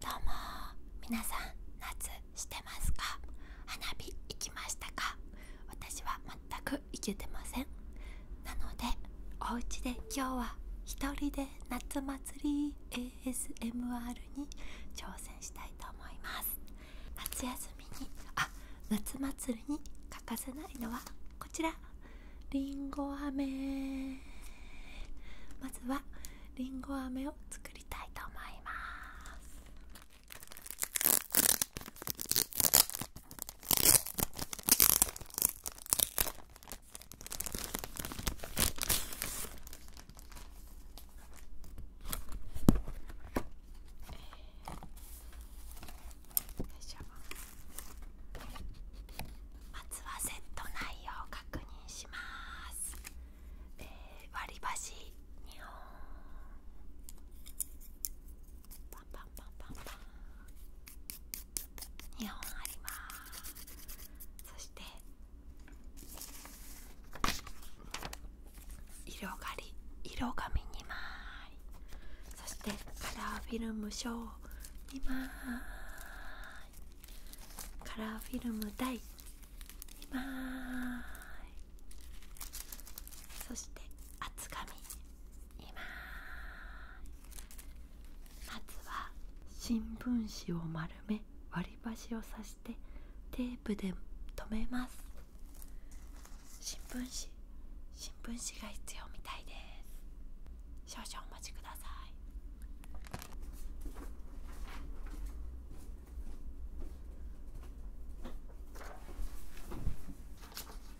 どうも皆さん夏してますか花火行きましたか私は全く行けてませんなのでお家で今日は一人で夏祭り ASMR に挑戦したいと思います夏休みにあ夏祭りに欠かせないのはこちらりんご飴まずはりんご飴を作りたいと思いますまずはセット内容を確認します、えー、割り箸2本パ本ありますそして色紙2枚そしてカラーフィルムショー2枚カラーフィルム第2枚そして厚紙2枚まずは新聞紙を丸め割り箸を刺してテープで留めます新聞紙新聞紙が必要みたいです少々お待ちください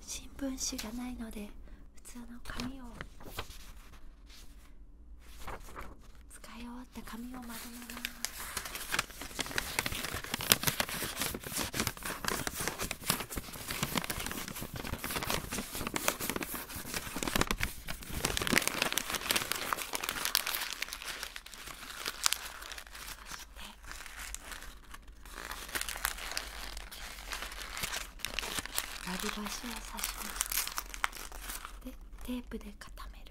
新聞紙がないので普通の紙を使い終わった紙を丸めますそし割り箸を刺しますでテープで固める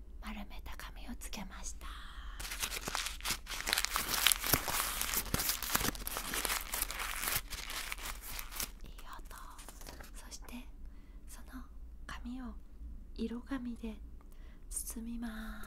丸めた紙をつけましたいい音そしてその紙を色紙で包みます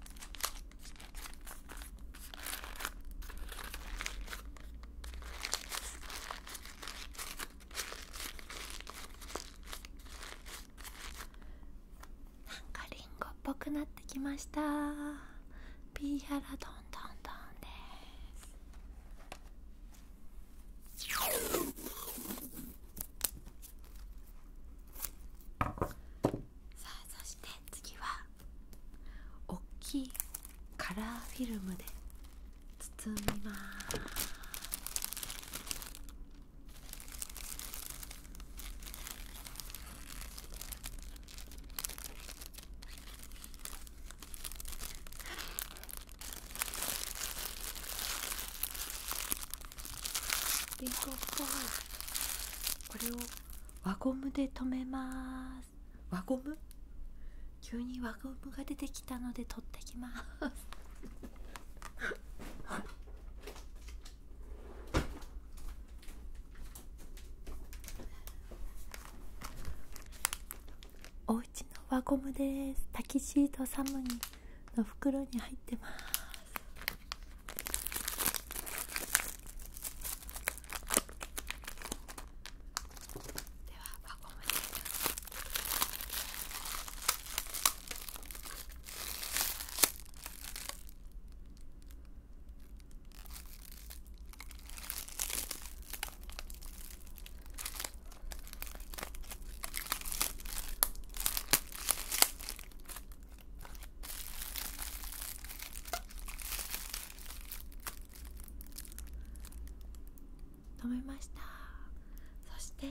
なんかリンゴっぽくなってきましたピーヤラドンドンドンですさあそして次は大きいカラーフィルムで包みますリンゴっぽこれを輪ゴムで留めます輪ゴム急に輪ゴムが出てきたので取ってきます おうの輪ゴムですタキシードサムにの袋に入ってますでは輪ゴムで飲めましたそして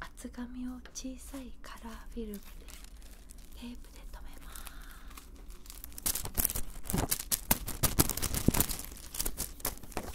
厚紙を小さいカラーフィルムでテープで留めます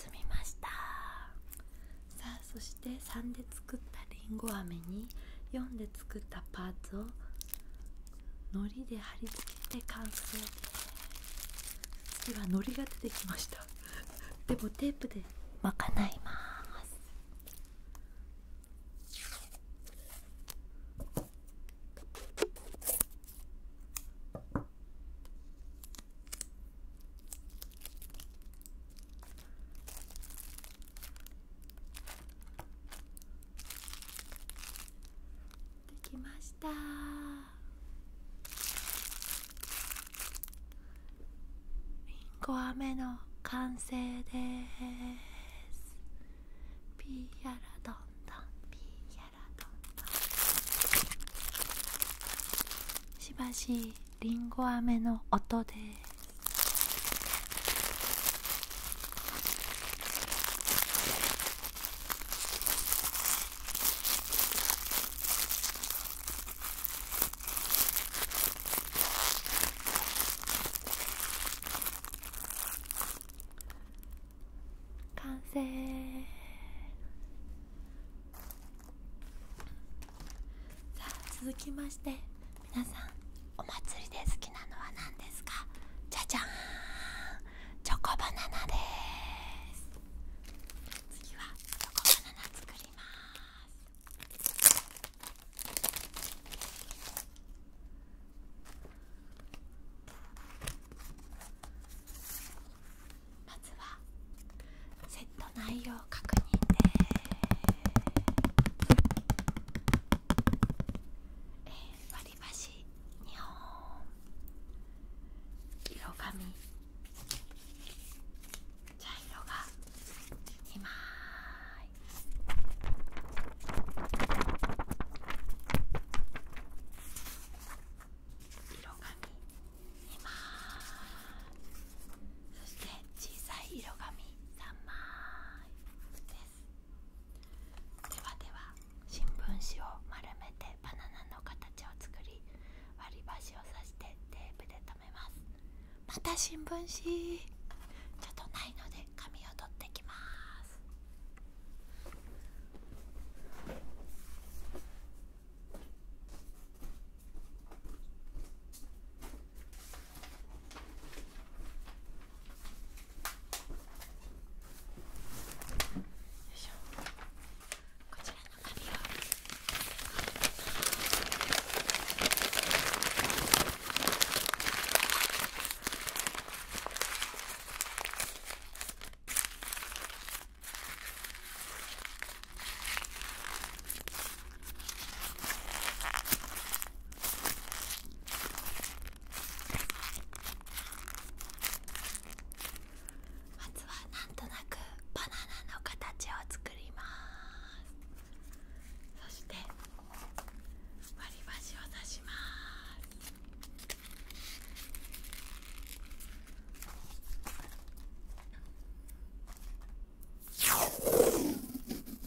包みましたさあそして3で作ったりんご飴に4で作ったパーツをのりで貼り付けて完成次はのりが出てきました でもテープでまかないますできましたりんご飴の完成ですピーヤラどんどんピーヤラどんどんしばしりんご飴の音です完成さあ続きまして皆さんお祭りで好きなのは何ですかじゃじゃーんチョコバナナです次はチョコバナナ作りますまずはセット内容を確認ですえー、割り箸2本色紙茶色が2枚色紙2枚そして小さい色紙3枚でではでは新聞紙を丸めてバナナの形を作り割り箸を刺してテープで留めますまた新聞紙ちょっとないので紙を取ってきますこちらの紙をまずはなんとなくバナナの形を作りますそして割り箸を刺します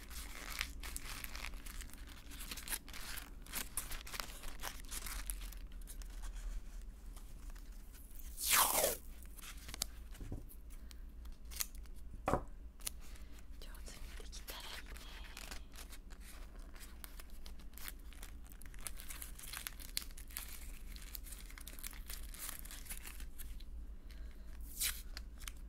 上手にできたらいいね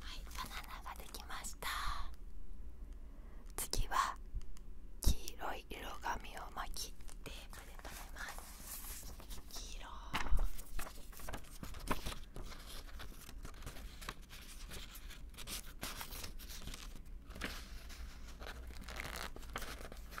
はいバナナができました次は黄色い色紙を巻きテープで留めます黄色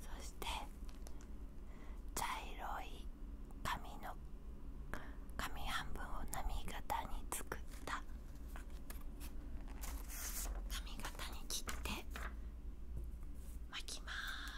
そして茶色い紙の紙半分を波形に作った紙形に切って巻きます。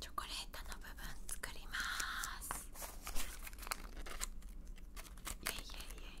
チョコレートの部分作りますイエイイエイイエ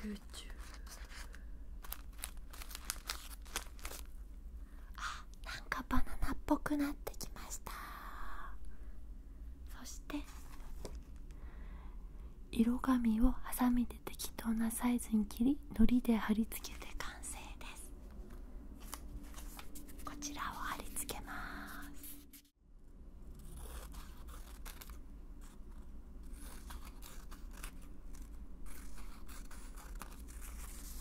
YouTube あなんかバナナっぽくなってきましたそして色紙をハサミで適当なサイズに切りのりで貼り付けて完成ですこちらを貼り付けます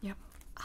やっあ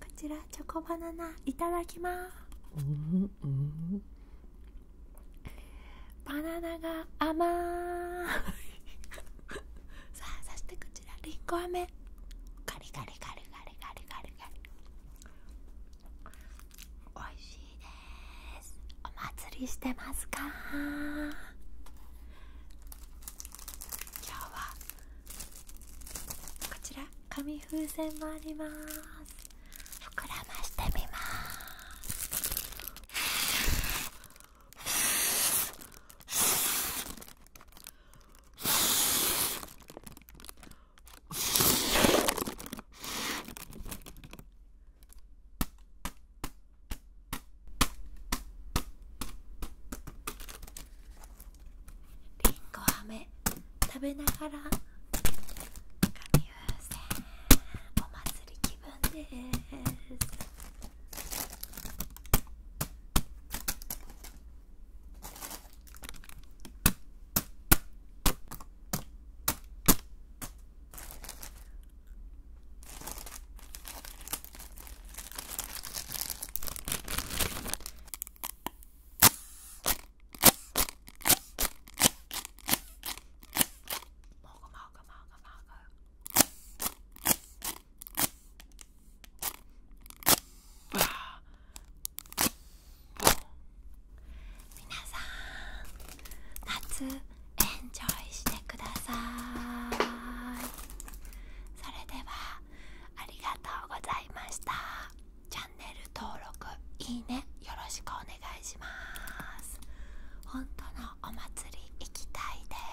こちらチョコバナナいただきます、バナナが甘い さあそしてこちらりんご飴ガリガリガリガリガリガリガリおいしいですお祭りしてますか今日こちら紙風船もあります膨らましてみますりんご飴食べながら紙風船お祭り気分です皆さん夏エンジョイしててくださいそれではありがとうございましたチャンネル登録いいねよろしくお願いします本当のお祭り行きたいです